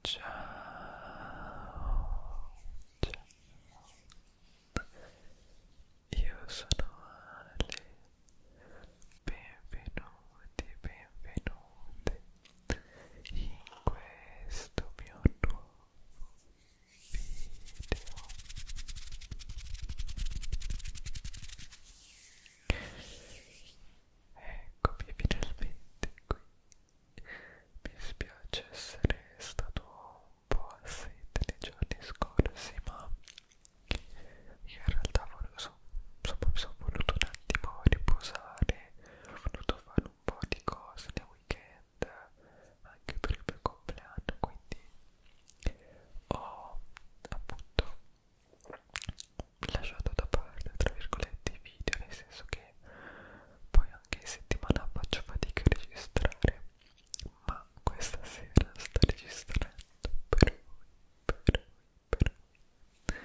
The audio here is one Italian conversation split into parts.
Ciao, ciao, io sono Ale, benvenuti, benvenuti in questo mio nuovo video. Eccomi finalmente qui mi spiace essere stato un po' assente nei giorni scorsi, ma io in realtà volevo, so, insomma, mi sono voluto un attimo riposare, ho voluto fare un po' di cose nel weekend, anche per il mio compleanno, quindi ho appunto lasciato da parte tra virgolette i video nel senso che poi anche in settimana faccio fatica a registrare ma questa sera sto registrando per voi per voi per voi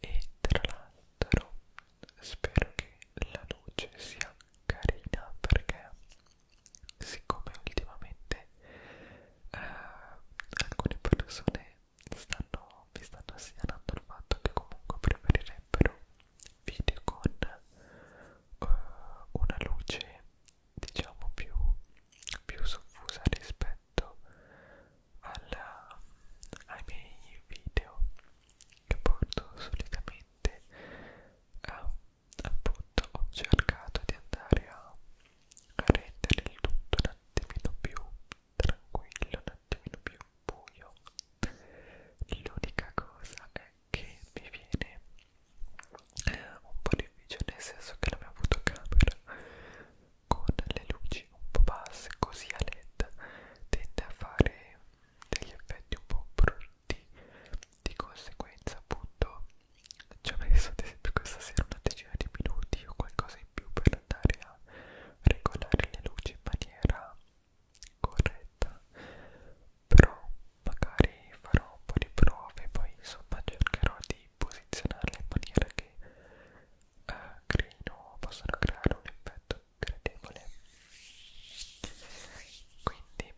e tra l'altro spero che la luce sia carina perché siccome ultimamente eh, alcune persone stanno, vi stanno segnalando il fatto che comunque preferirebbero video con uh, una luce diciamo più, più soffusa rispetto alla, ai miei video che porto solitamente uh, appunto ho cercato di andare a, a rendere il tutto un attimino più tranquillo, un attimino più buio. L'unica cosa è che mi viene eh, un po' difficile, nel senso che la mia fotocamera con le luci un po' basse, così a led, tende a fare degli effetti un po' brutti. Di conseguenza, appunto, ci ho messo ad esempio questa sera una decina di minuti o qualcosa in più per andare bisogna regolare le luci in maniera corretta però magari farò un po' di prove poi insomma cercherò di posizionarle in maniera che eh, creino possano creare un effetto gradevole quindi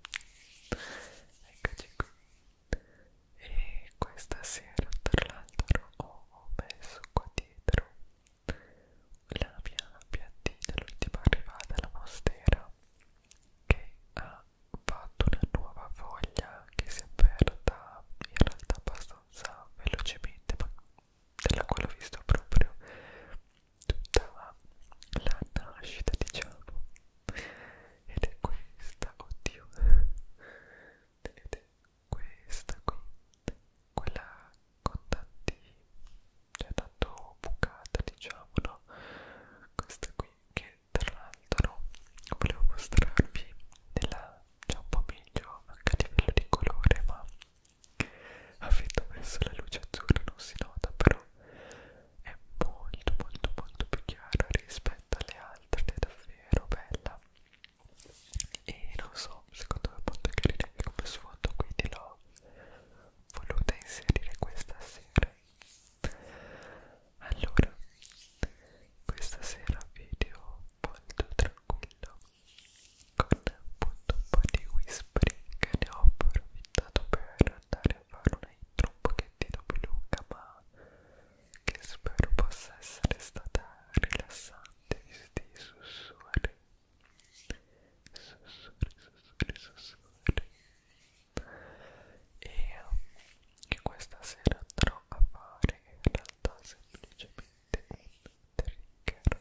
eccoci qui e questa sera tra l'altro ho messo qua dietro la mia piantina, l'ultima arrivata, la mostera, che ha fatto una nuova foglia che si è aperta in realtà abbastanza velocemente, ma della quale ho visto proprio tutta la nascita, diciamo. Ed è questa, oddio, ed è questa qui, quella con tanti, cioè tanto bucata diciamo, no? Questa qui che tra l'altro volevo mostrarvi nella, cioè un po' meglio anche a livello di colore, ma avendo messo la luce azzurra non si nota però è molto molto molto più chiara rispetto alle altre ed è davvero bella e non so secondo me molto carina anche come sfondo quindi l'ho voluta inserire questa sera allora questa sera video molto tranquillo con appunto un po' di whispering che ne ho approfittato per andare a fare una intro un pochettino più lunga ma che spero possa essere stata rilassante questi sussurri sussurri sussurri sussurri e che questa sera andrò a fare in realtà semplicemente un trigger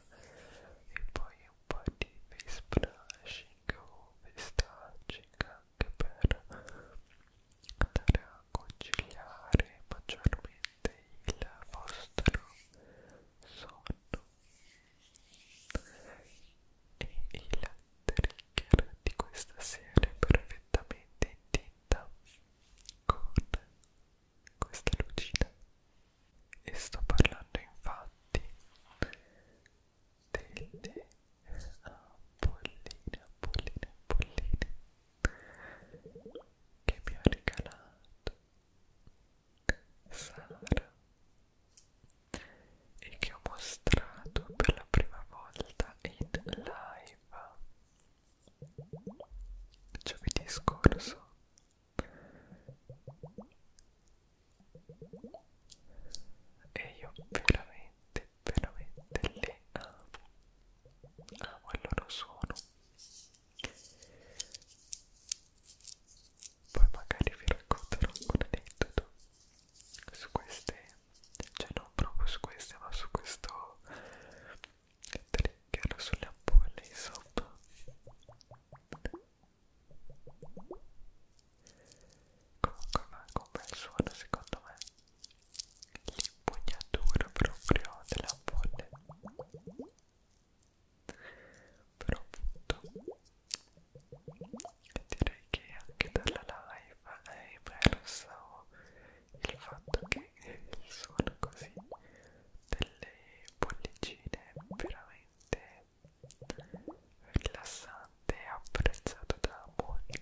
e poi un po' di face brushing o face touching anche per andare a conciliare maggiormente il vostro sonno e il trigger di questa sera è perfettamente in tinta con questa lucina e sto parlando infatti delle polline, ah, polline, polline che mi ha regalato Sara e che ho mostrato per la prima volta in live giovedì scorso e io veramente veramente le amo Ah, quello lo sono. Poi magari vi racconterò un aneddoto su queste, cioè non proprio su queste, ma su questo trigger sulle ampolle, insomma. Comunque manca un bel suono secondo me l'impugnatura proprio della bolle però appunto direi che anche dalla live è emerso il fatto che il suono così delle bollicine è veramente rilassante e apprezzato da molti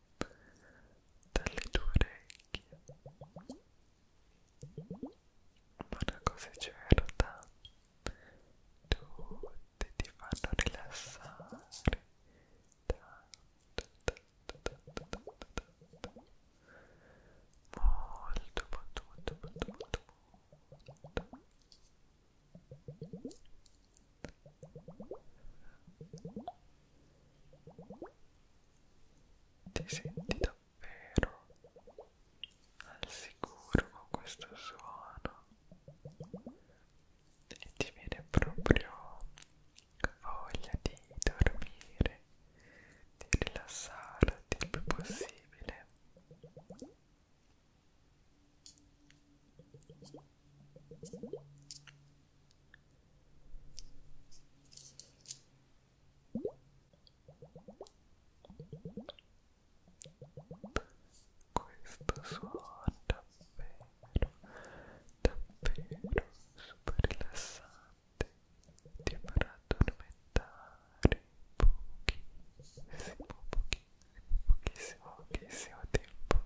dalle tue orecchie. una cosa certa, tutti ti fanno rilassare molto, molto, molto, molto, molto. Ti senti davvero al sicuro con questo suono e ti viene proprio voglia di dormire, di rilassarti il più possibile. Questo suono davvero, davvero super rilassante ti farà addormentare pochissimo, pochissimo, pochissimo, pochissimo tempo.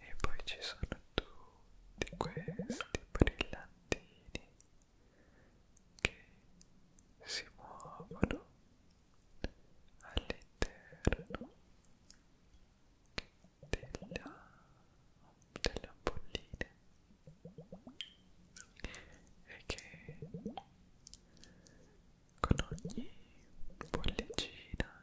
e poi ci sono tutti questi brillantini che si muovono all'interno della, delle ampolline e che con ogni bollicina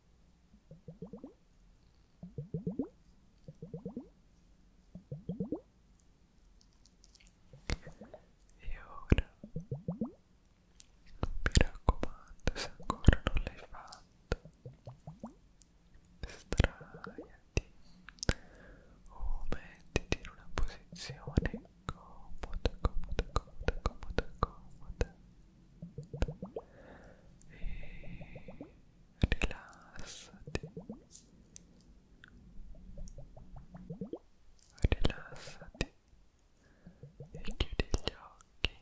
e ora mi raccomando, se ancora non l'hai fatto, straiati o mettiti in una posizione comoda, comoda, comoda, comoda, comoda. E rilassati rilassati e chiudi gli occhi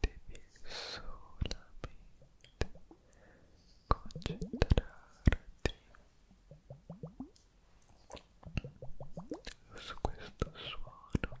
devi solamente concentrarti su questo suono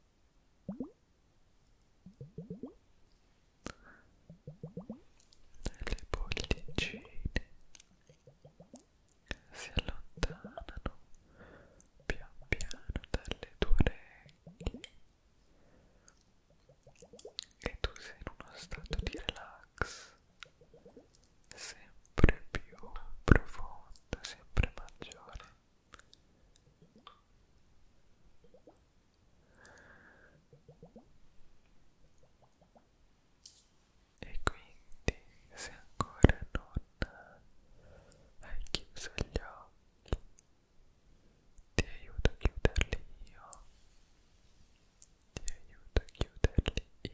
le pollicine si allontanano pian piano dalle tue orecchie e tu sei in uno stato di relax sempre più profondo, sempre maggiore e quindi se ancora non hai chiuso gli occhi ti aiuto a chiuderli io ti aiuto a chiuderli io